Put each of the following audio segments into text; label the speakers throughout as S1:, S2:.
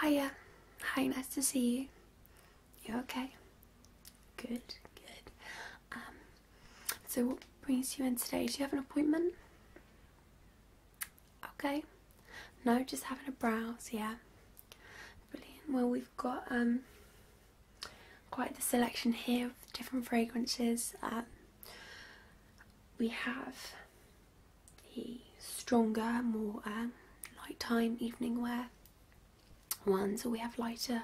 S1: Hiya. Hi, nice to see you. You okay? Good, good. Um, so what brings you in today? Do you have an appointment? Okay. No, just having a browse, yeah. Brilliant. Well, we've got um, quite the selection here of different fragrances. Um, we have the stronger, more um, nighttime evening wear ones, or we have lighter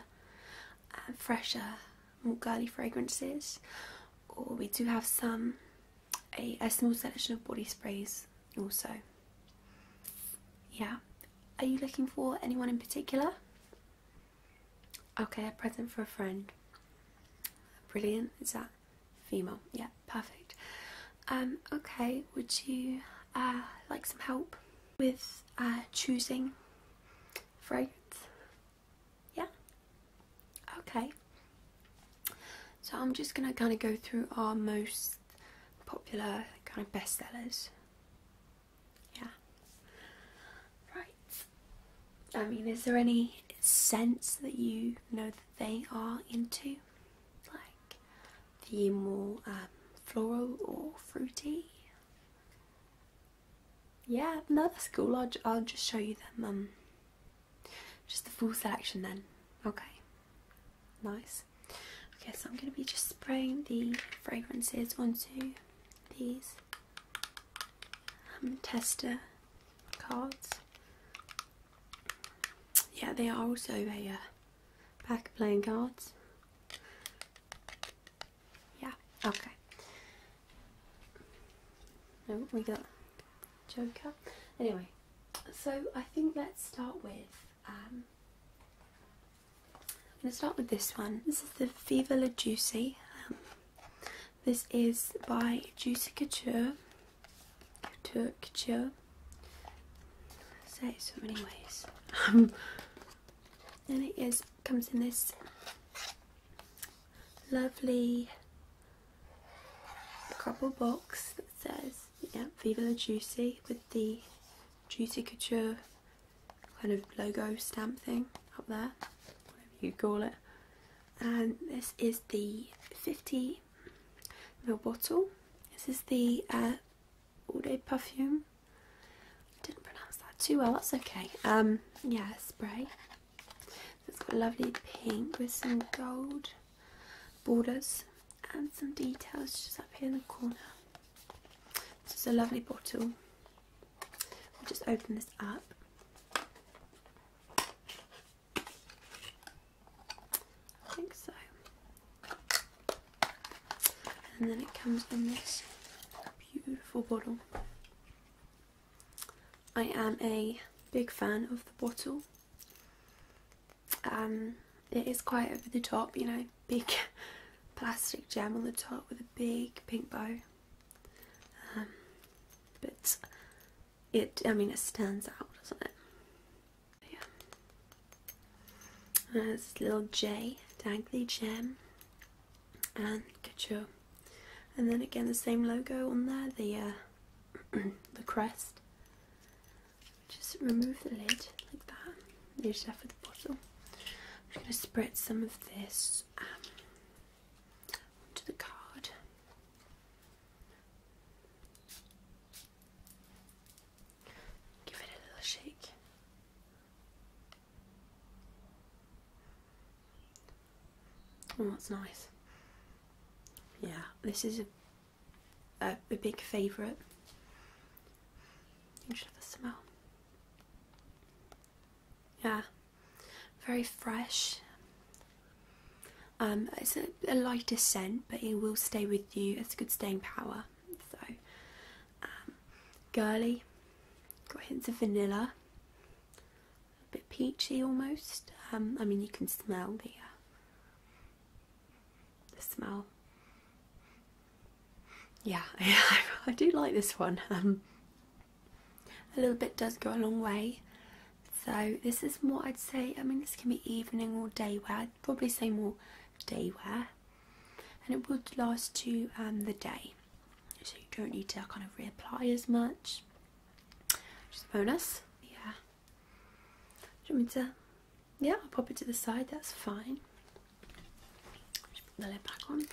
S1: uh, fresher, more girly fragrances, or we do have some a, a small selection of body sprays also. Yeah, are you looking for anyone in particular? Okay, a present for a friend. Brilliant. Is that Female, yeah, perfect. Um, okay, would you uh, like some help with uh, choosing fragrance? Yeah? Okay. So I'm just going to kind of go through our most popular kind of bestsellers. Yeah. Right. I mean, is there any sense that you know they are into, like the more um, floral or fruity. Yeah, no, that's cool. I'll, just show you them. Um, just the full selection then. Okay, nice. Okay, so I'm going to be just spraying the fragrances onto these um, tester cards yeah, they are also a uh, pack of playing cards. Yeah, okay. No, we got Joker. Anyway, so I think let's start with. Um, I'm going to start with this one. This is the Viva La Juicy. Um, this is by Juicy Couture. Türkçe. Say so many ways. Um, and it is comes in this lovely couple box that says yeah, Viva the Juicy with the Juicy Couture kind of logo stamp thing up there, whatever you call it. And this is the 50 Little bottle. This is the uh, Eau de I didn't pronounce that too well, that's okay. Um, yeah, spray. It's got lovely pink with some gold borders and some details just up here in the corner. This is a lovely bottle. I'll just open this up. I think so. And then it comes in this beautiful bottle. I am a big fan of the bottle. Um, it is quite over the top, you know, big plastic gem on the top with a big pink bow. Um, but it I mean it stands out, doesn't it? Yeah. And uh, little J, dangly gem, and couture. And then again the same logo on there, the uh, the crest. Just remove the lid like that. Leave it for the bottle. I'm going to spread some of this um, onto the card. Give it a little shake. Oh, that's nice. Yeah, this is a, a, a big favourite. You should have a smell. Yeah, very fresh, um, it's a, lighter scent, but it will stay with you. It's a good staying power. So, um, girly, got hints of vanilla, a bit peachy almost. Um, I mean, you can smell the uh, the smell. Yeah, I do like this one. a little bit does go a long way. So this is more, I'd say. I mean, this can be evening or day wear. probably say more day wear, and it would last to um, the day, so you don't need to kind of reapply as much. Just a bonus, yeah. Do you Yeah, I'll pop it to the side. That's fine. Just put the lid back on.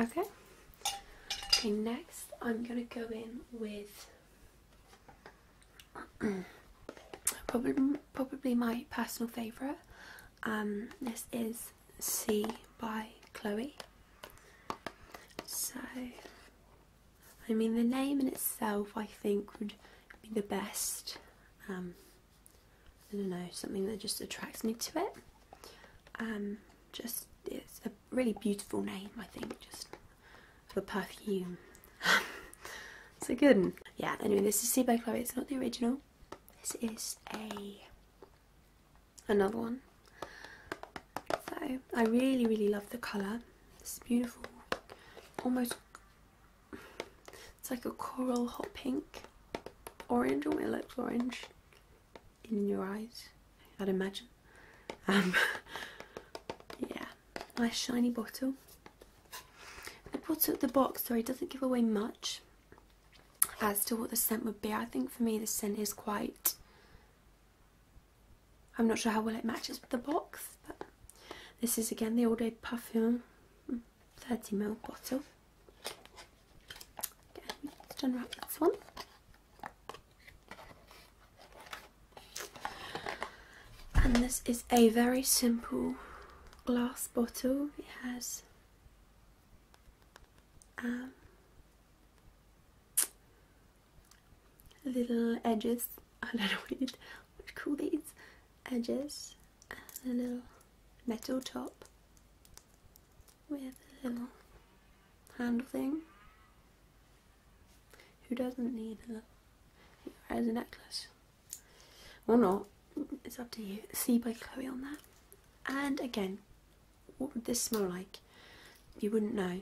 S1: Okay. Okay, next I'm gonna go in with probably probably my personal favourite. Um, this is C by Chloe. So, I mean, the name in itself, I think, would be the best um, I don't know, something that just attracts me to it. Um, just it's a really beautiful name, I think, just for perfume. it's a good one. Yeah, anyway, this is Sea by Chloe. It's not the original. This is a another one. So I really, really love the colour. It's beautiful, almost it's like a coral hot pink, orange, or it looks orange in your eyes, I'd imagine. Um, yeah, nice shiny bottle. I bought it the box, so it doesn't give away much as to what the scent would be. I think for me the scent is quite... I'm not sure how well it matches with the box, but this is again the All Day Perfume 30ml bottle. Again, let this one. And this is a very simple glass bottle. It has um, little edges. I don't know what, you'd, call these edges, and a little metal top with a little handle thing. Who doesn't need a little as a necklace? Well, not. It's up to you. See by Chloe on that. And again, what would this smell like? You wouldn't know.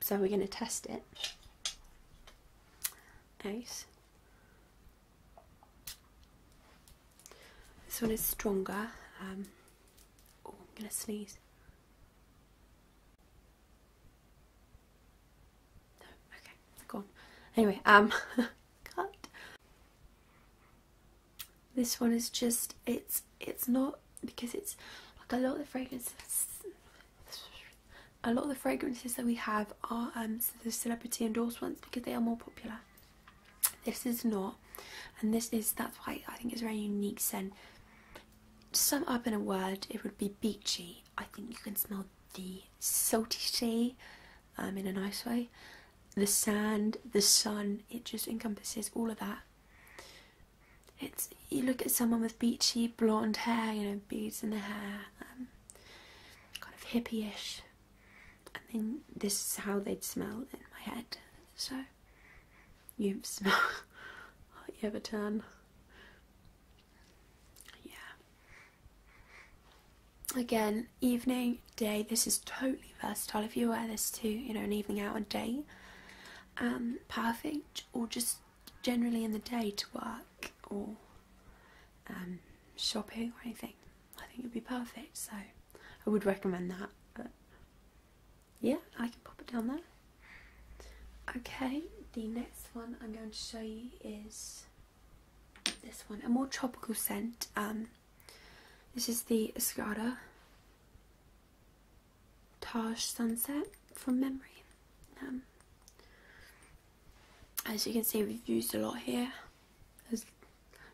S1: So we're going to test it. Ace. This one is stronger. Um, oh, I'm going to sneeze. okay, go Anyway, um, cut. This one is just, it's, it's not, because it's, like a lot of the fragrances, a lot of the fragrances that we have are um, the celebrity endorsements because they are more popular. This is not, and this is that's why I think it's very unique scent. To sum up in a word, it would be beachy. I think you can smell the salty sea um, in a nice way, the sand, the sun, it just encompasses all of that. It's you look at someone with beachy blonde hair, you know, beads in the hair, um, kind of hippyish and then this is how they'd smell in my head. So you have smell you have a turn. Yeah. Again, evening, day, this is totally versatile. If you wear this to, you know, an evening out, a day, um, perfect, or just generally in the day to work or um, shopping or anything. I think it'd be perfect. So I would recommend that. But yeah, I can pop it down there. Okay, the next one I'm going to show you is this one, a more tropical scent. Um, this is the Escada Taj Sunset from memory. Um, as you can see, we've used a lot here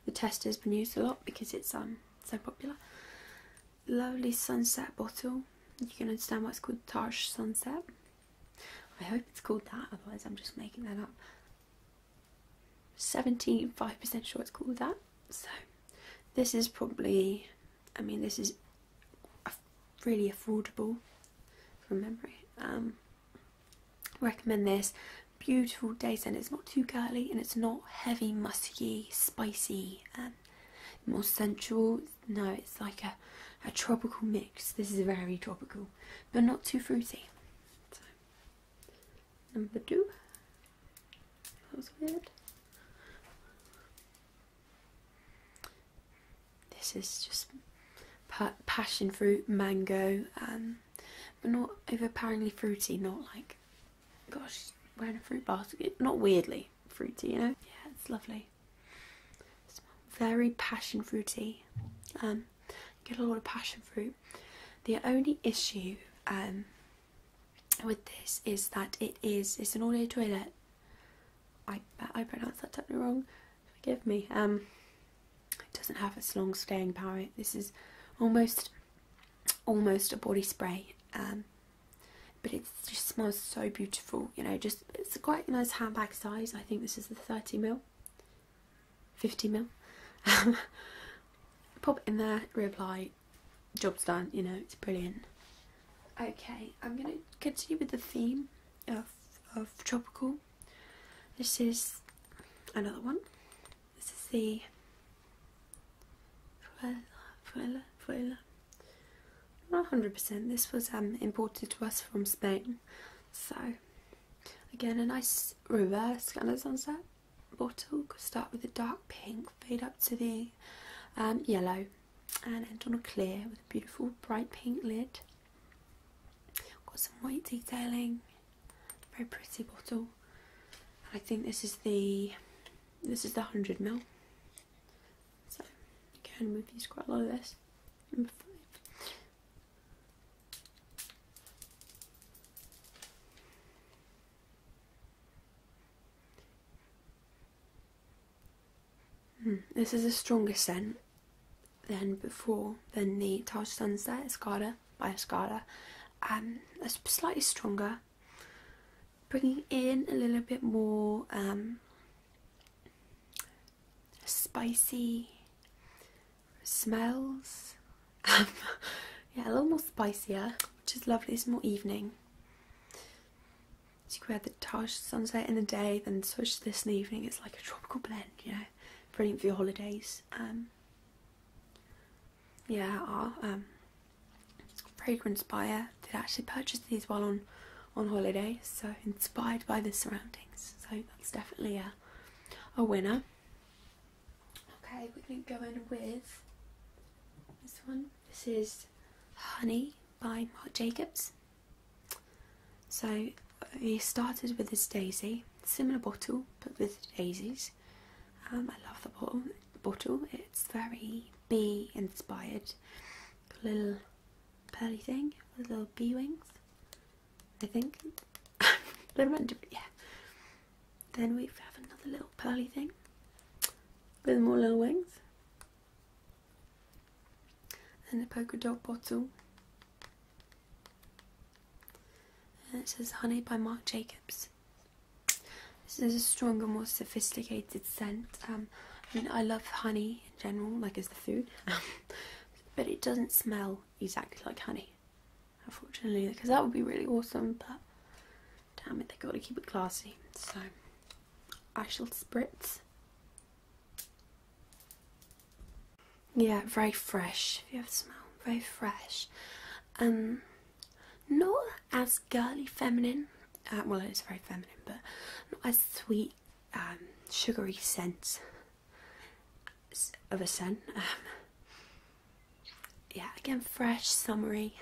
S1: the tester has been used a lot because it's um so popular. Lovely sunset bottle. You can understand why it's called Taj Sunset. I hope it's called that, otherwise I'm just making that up. 75% sure it's called that. So this is probably, I mean this is really affordable from memory. Um, recommend this beautiful day scent it's not too girly and it's not heavy musky spicy and um, more sensual no it's like a, a tropical mix this is very tropical but not too fruity number two that was weird this is just passion fruit mango and um, but not overpoweringly fruity, not like, gosh, wearing a fruit basket, not weirdly fruity, you know? Yeah, it's lovely. very passion fruity. Um, get a lot of passion fruit. The only issue um, with this is that it is, it's an audio toilet. I I pronounced that totally wrong. Forgive me. Um, it doesn't have as long staying power. This is almost almost a body spray. Um, but it just smells so beautiful, you know, just it's a quite nice handbag size. I think this is the 30 mil, 50 mil. Pop it in there, reapply, job's done, you know, it's brilliant. Okay, I'm going to continue with the theme of tropical. This is another one. This is the Fruela, Fruela, Not 100%. This was um, imported to us from Spain. So, again, a nice reverse kind of sunset bottle. start with a dark pink, fade up to the um, yellow, and end on a clear with a beautiful bright pink lid. Got some white detailing very pretty bottle. I think this is the this is the hundred ml. So again, we've used quite a lot of this. Number five. Hmm, this is a stronger scent than before than the Taj Sunset Escada. Mascara by Escada, um, it's slightly stronger, bringing in a little bit more um, spicy smells. Um, yeah, a little more spicier, which is lovely. It's more evening. So you wear the Taj sunset in the day, then switch to this in the evening. It's like a tropical blend, you know, brilliant for your holidays. Um, yeah, our um, fragrance buyer did actually purchase these while on on holiday, so inspired by the surroundings. So that's definitely a a winner. Okay, we're going to go in with this one. This is Honey by Marc Jacobs. So we started with this daisy, similar bottle but with daisies. Um, I love the bottle. Bottle. It's very bee inspired. Little pearly thing with little bee wings. I think. They're yeah. Then we have another little pearly thing with more little wings. And a polka dot bottle and it says Honey by Marc Jacobs. This is a stronger, more sophisticated scent. Um, I mean, I love honey in general, like as the food, but it doesn't smell exactly like honey, unfortunately, because that would be really awesome. But damn it, they got to keep it classy. So I shall spritz. Yeah, very fresh. If you ever smell very fresh. Um, not as girly feminine. Uh, well, it's very feminine, but not as sweet, um, sugary scent of a scent. Um, yeah, again, fresh, summery.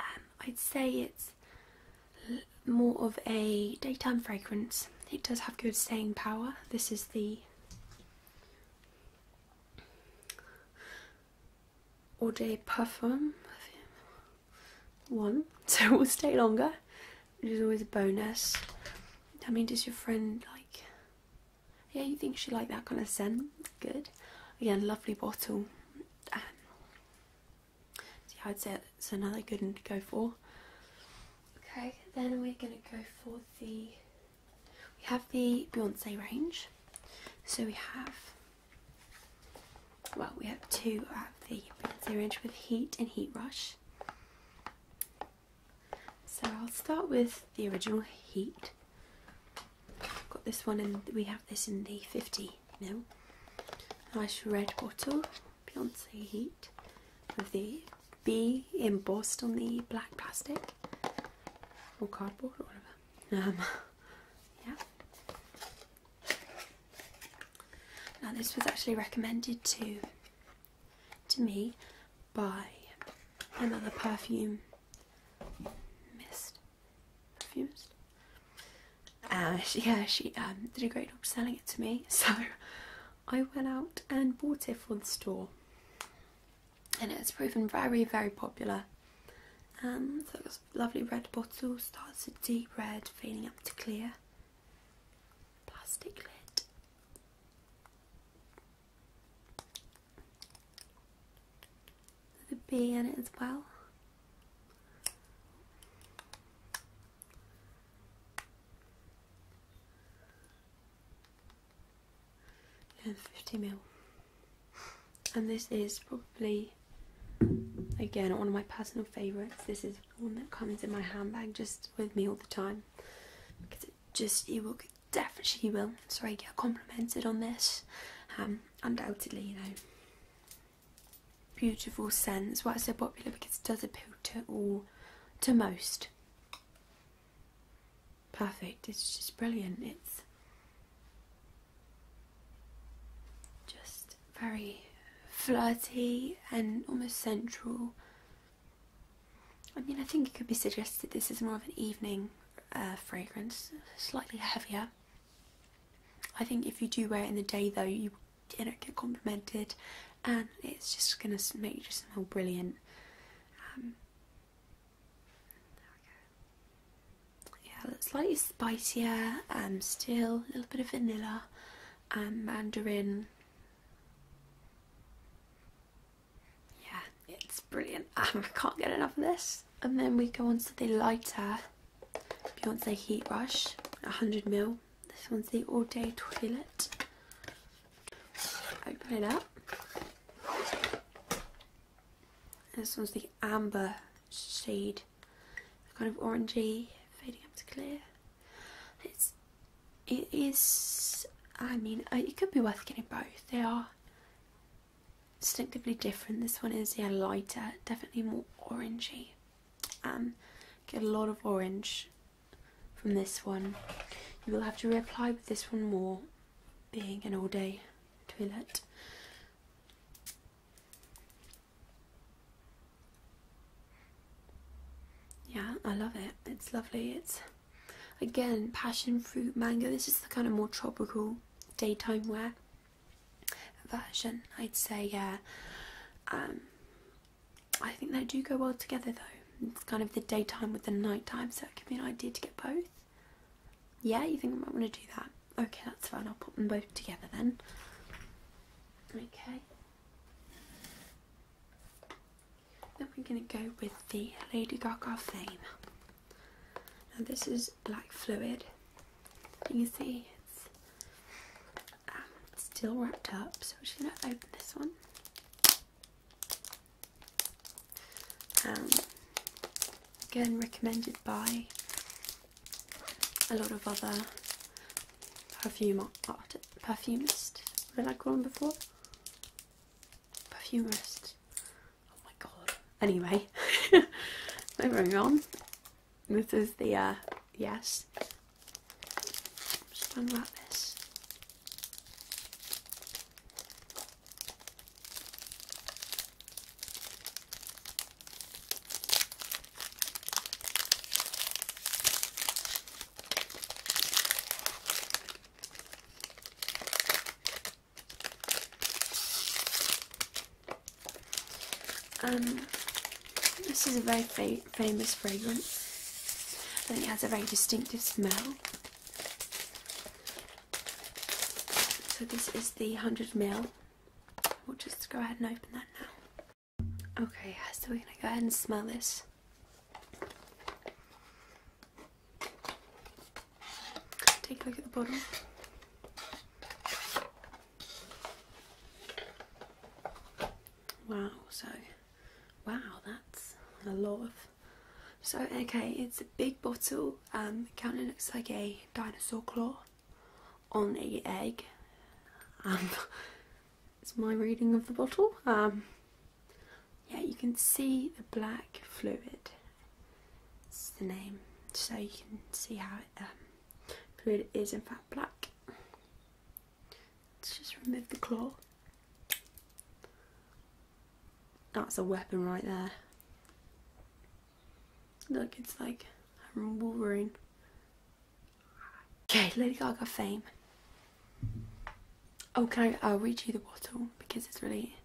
S1: Um, I'd say it's more of a daytime fragrance. It does have good staying power. This is the Eau de Parfum one, so it will stay longer, It is always a bonus. I mean, does your friend like, yeah, you think she like that kind of scent? Good. Again, lovely bottle. See, so yeah, I'd say it's another good one to go for. Okay, then we're going to go for the we have the Beyonce range. So we have, well, we have two of the Beyonce range with Heat and Heat Rush. So I'll start with the original Heat. got this one and we have this in the 50 mil. Nice red bottle, Beyonce Heat with the be embossed on the black plastic or cardboard or whatever. Um, yeah. Now this was actually recommended to to me by another perfume mist perfumist. And uh, she, yeah, she um, did a great job selling it to me, so I went out and bought it for the store and it's proven very, very popular. Um, so it's lovely red bottle, starts a deep red, fading up to clear. Plastic lid. There's bee in it as well and 50 mil. And this is probably, again, one of my personal favourites. This is one that comes in my handbag just with me all the time. Because it just, you will, definitely will. Sorry, get complimented on this. Um, undoubtedly, you know. Beautiful scent. That's why it's so popular because it does appeal to all, to most perfect. It's just brilliant. It's just very flirty and almost sensual. I mean, I think it could be suggested this is more of an evening uh, fragrance, slightly heavier. I think if you do wear it in the day, though, you don't get complimented, and it's just gonna make you just smell brilliant. Um, yeah, it's slightly spicier, um, still a little bit of vanilla and um, mandarin. Yeah, it's brilliant. I can't get enough of this. And then we go on to the lighter Beyonce Heat Brush, 100ml. This one's the All Day Toilet. Open it up. This one's the amber shade, kind of orangey, fading up to clear. It's, it is. I mean, uh, it could be worth getting both. They are distinctively different. This one is yeah lighter, definitely more orangey. Um, get a lot of orange from this one. You will have to reapply with this one more being an all day toilet. Yeah, I love it. It's lovely. It's again passion fruit mango. This is the kind of more tropical daytime wear version. I'd say yeah. Um, I think they do go well together though. It's kind of the daytime with the nighttime, so it could be an idea to get both. Yeah, you think I might want to do that? Okay, that's fine. I'll put them both together then. Okay. Then we're going to go with the Lady Gaga Fame. Now this is black fluid. You can see it's um, still wrapped up, so we're just going to open this one. Um, again, recommended by a lot of other perfume art perfumist. What did I call them before? Perfumist. Oh my god. Anyway, moving on. This is the uh, yes. just done this. Um, this is a very famous fragrance. I think it has a very distinctive smell. So this is the 100 ml. We'll just go ahead and open that now. Okay, so we're gonna go ahead and smell this. Take a look at the bottle. Wow, so wow, that's a lot of so okay, it's a big bottle. Um, it kind looks like a dinosaur claw on a egg. Um, it's my reading of the bottle. Um, yeah, you can see the black fluid. It's the name, so you can see how it, um, fluid is in fact black. Let's just remove the claw. That's a weapon right there. Look, it's like a Wolverine. Okay, Lady Gaga fame. Oh, can I, I'll read you the bottle because it's really...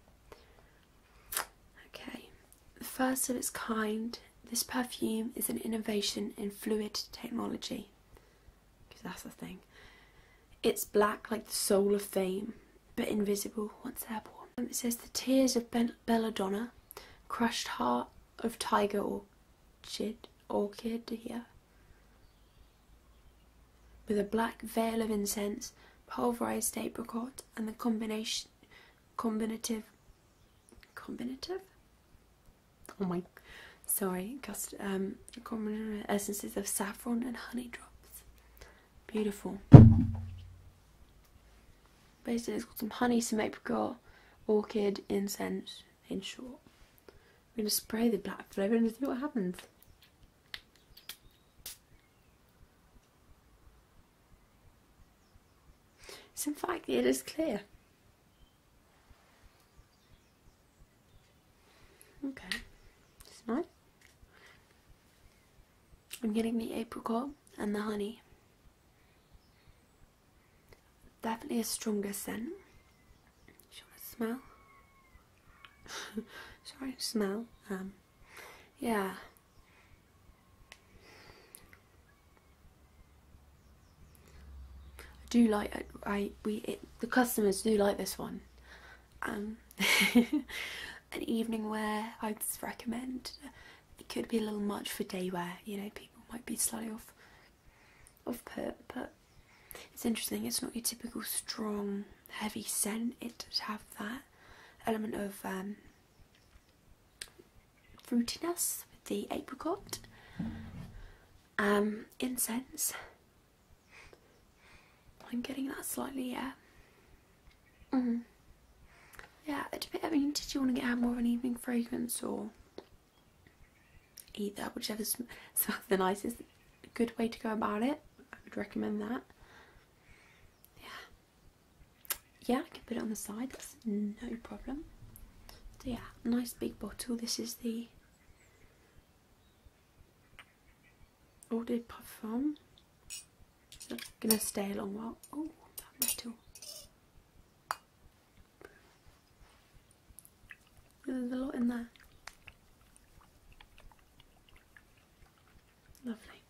S1: Okay. The first of its kind, this perfume is an innovation in fluid technology. Because that's the thing. It's black like the soul of fame, but invisible once they're born. Um, it says the tears of belladonna, crushed heart of tiger orchid, orchid, yeah. With a black veil of incense, pulverized apricot, and the combination, combinative, combinative? Oh my, sorry, cust, um, essences of saffron and honey drops. Beautiful. Basically, it's got some honey, some apricot, orchid, incense, in short. we're going to spray the black flavour and see what happens. It's in fact, it is clear. Okay, it's nice. I'm getting the apricot and the honey. Definitely a stronger scent. Do you want to smell? Sorry, smell. Um, yeah. I do like I, we it, the customers do like this one um, an evening wear I'd recommend. Uh, it could be a little much for day wear, you know, people might be slightly off off put, but it's interesting, it's not your typical strong, heavy scent, it does have that element of um, fruitiness with the apricot, um, incense, I'm getting that slightly, yeah. Mm-hmm. Yeah, I mean, did you want to get more of an evening fragrance or either, whichever smells the nicest? Good way to go about it. I would recommend that. Yeah, yeah, I can put it on the side. That's no problem. So yeah, nice big bottle. This is the eau de parfum. That's gonna stay a long while. Oh, that metal. There's a lot in there. Lovely.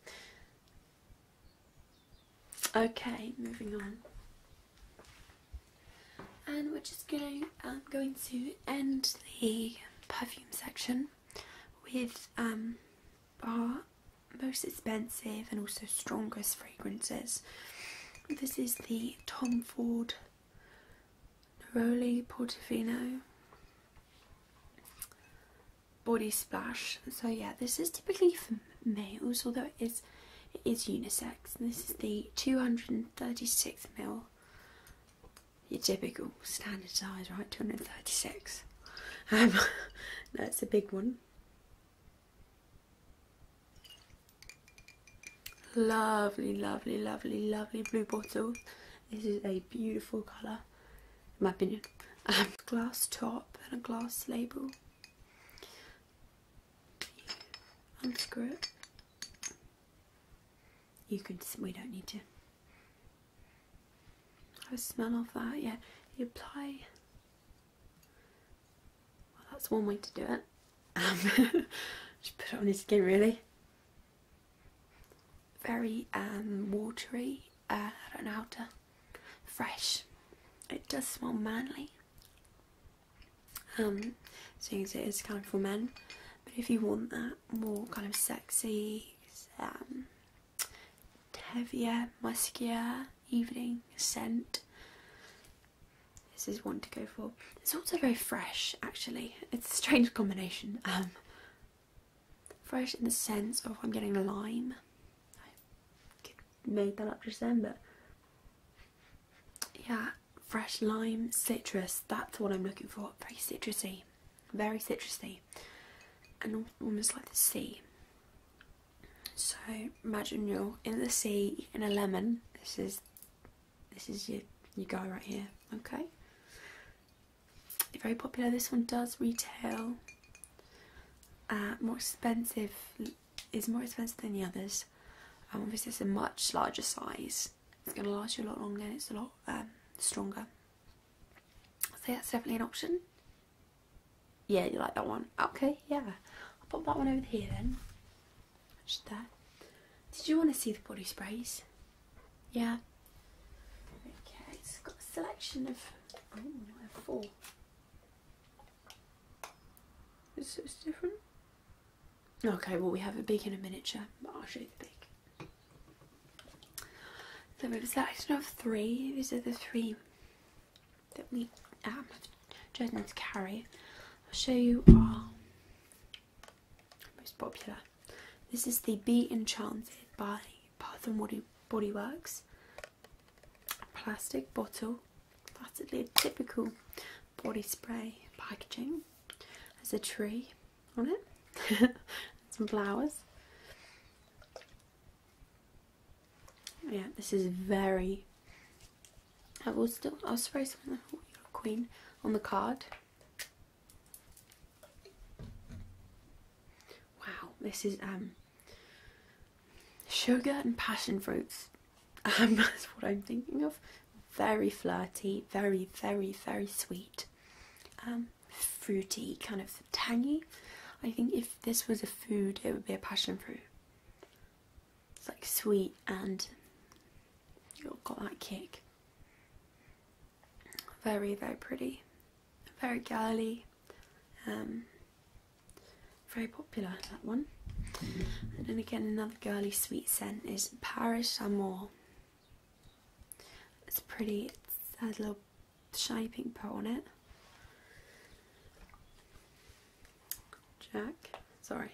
S1: Okay, moving on. And we're just going, I'm um, going to end the perfume section with our um, most expensive and also strongest fragrances. This is the Tom Ford Neroli Portofino Body Splash. So yeah, this is typically for males, although it is it is unisex. This is the 236ml your typical standard size, right? 236. Um, that's a big one. Lovely, lovely, lovely, lovely blue bottle. This is a beautiful colour, in my opinion. Um, glass top and a glass label. Unscrew it. You can, we don't need to. Have a smell of that, yeah. You apply, well, that's one way to do it. Um, just put it on your skin, really. Very um, watery, uh, I don't know how to, fresh. It does smell manly. Um, seeing as it is kind of for men. But if you want that more kind of sexy, um, heavier, muskier evening scent, this is one to go for. It's also very fresh, actually. It's a strange combination. Um, fresh in the sense of I'm getting lime. made that up just then, but yeah, fresh lime, citrus. That's what I'm looking for. Very citrusy very citrusy and almost like the sea. So imagine you're in the sea in a lemon. This is this is your your guy right here. Okay. Very popular. This one does retail. Uh, more expensive is more expensive than the others. Um, obviously, it's a much larger size. It's going to last you a lot longer. and It's a lot um, stronger. So that's definitely an option. Yeah, you like that one. Okay, yeah. I'll pop that one over here then. Just there. Did you want to see the body sprays? Yeah. Okay, it's got a selection of... Oh, no, I have four. Is different? Okay, well we have a big and a miniature, I'll show you the big. So we have a three. These are the three that we um, have chosen to carry. I'll show you our most popular. This is the Be Enchanted by Bath and Body, Body Works. Plastic bottle. That's a typical body spray packaging. There's a tree on it. Some flowers. Yeah, this is very. I will still. I'll spray some Queen on the card. Wow, this is um sugar and passion fruits. Um, that's what I'm thinking of. Very flirty, very, very, very sweet. Um, fruity, kind of tangy. I think if this was a food, it would be a passion fruit. It's like sweet and you've got that kick. Very, very pretty, very girly, um, very popular that one. And then again, another girly sweet scent is Paris Amour. It's pretty, it has a little shaping pot on it. Jack, sorry.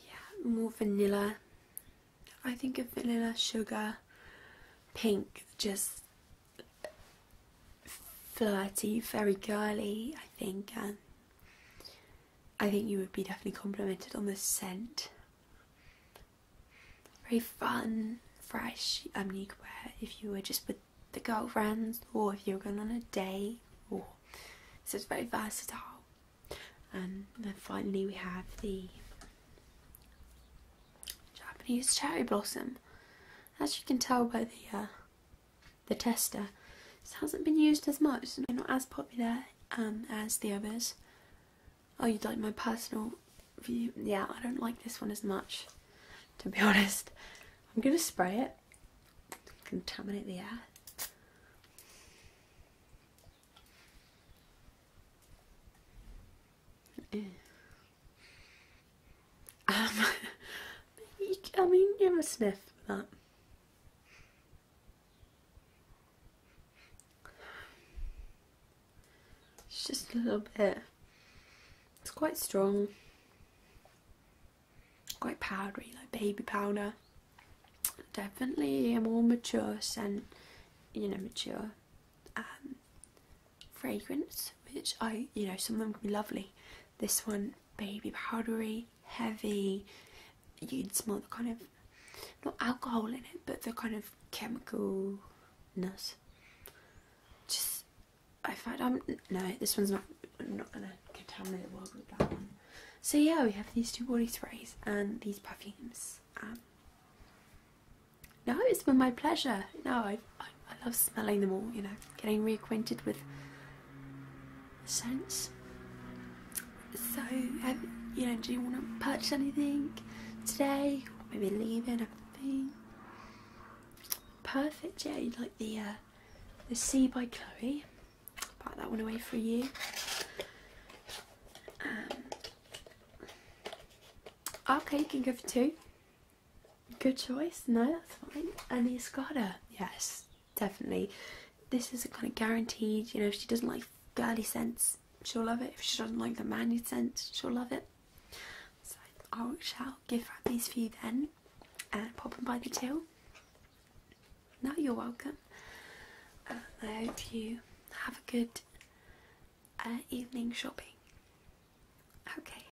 S1: Yeah, more vanilla. I think a vanilla, sugar, pink, just flirty, very girly, I think, and I think you would be definitely complimented on the scent. Very fun, fresh. I mean, you could wear it if you were just with the girlfriends, or if you were going on a day. or so it's very versatile. And then finally, we have the Japanese cherry blossom. As you can tell by the uh, the tester. This hasn't been used as much, so not as popular um, as the others. Oh, you'd like my personal view? Yeah, I don't like this one as much, to be honest. I'm going to spray it, contaminate the air. Um, I mean, give a sniff for that. It's just a little bit. It's quite strong, quite powdery, like baby powder. Definitely a more mature scent, you know, mature. Um, fragrance, which I, you know, some of them can be lovely. This one, baby powdery, heavy. You'd smell the kind of not alcohol in it, but the kind of chemicalness. Just, I find I'm no, this one's not. I'm not gonna contaminate the world with that one. So yeah, we have these two body sprays and these perfumes. Um, no, it's been my pleasure. No, i I've I love smelling them all, you know, getting reacquainted with scents. So, um, you know, do you want to purchase anything today? Maybe leave maybe leaving everything? Perfect, yeah, you like the uh, the Sea by Chloe. Pack that one away for you. okay, um, you can go for two. Good choice. No, that's fine. And the Escada, yes, definitely. This is a kind of guaranteed. You know, if she doesn't like girly scents, she'll love it. If she doesn't like the manly scents, she'll love it. So I shall give her these for you then, and pop them by the till. Now you're welcome. Uh, I hope you have a good uh, evening shopping. Okay,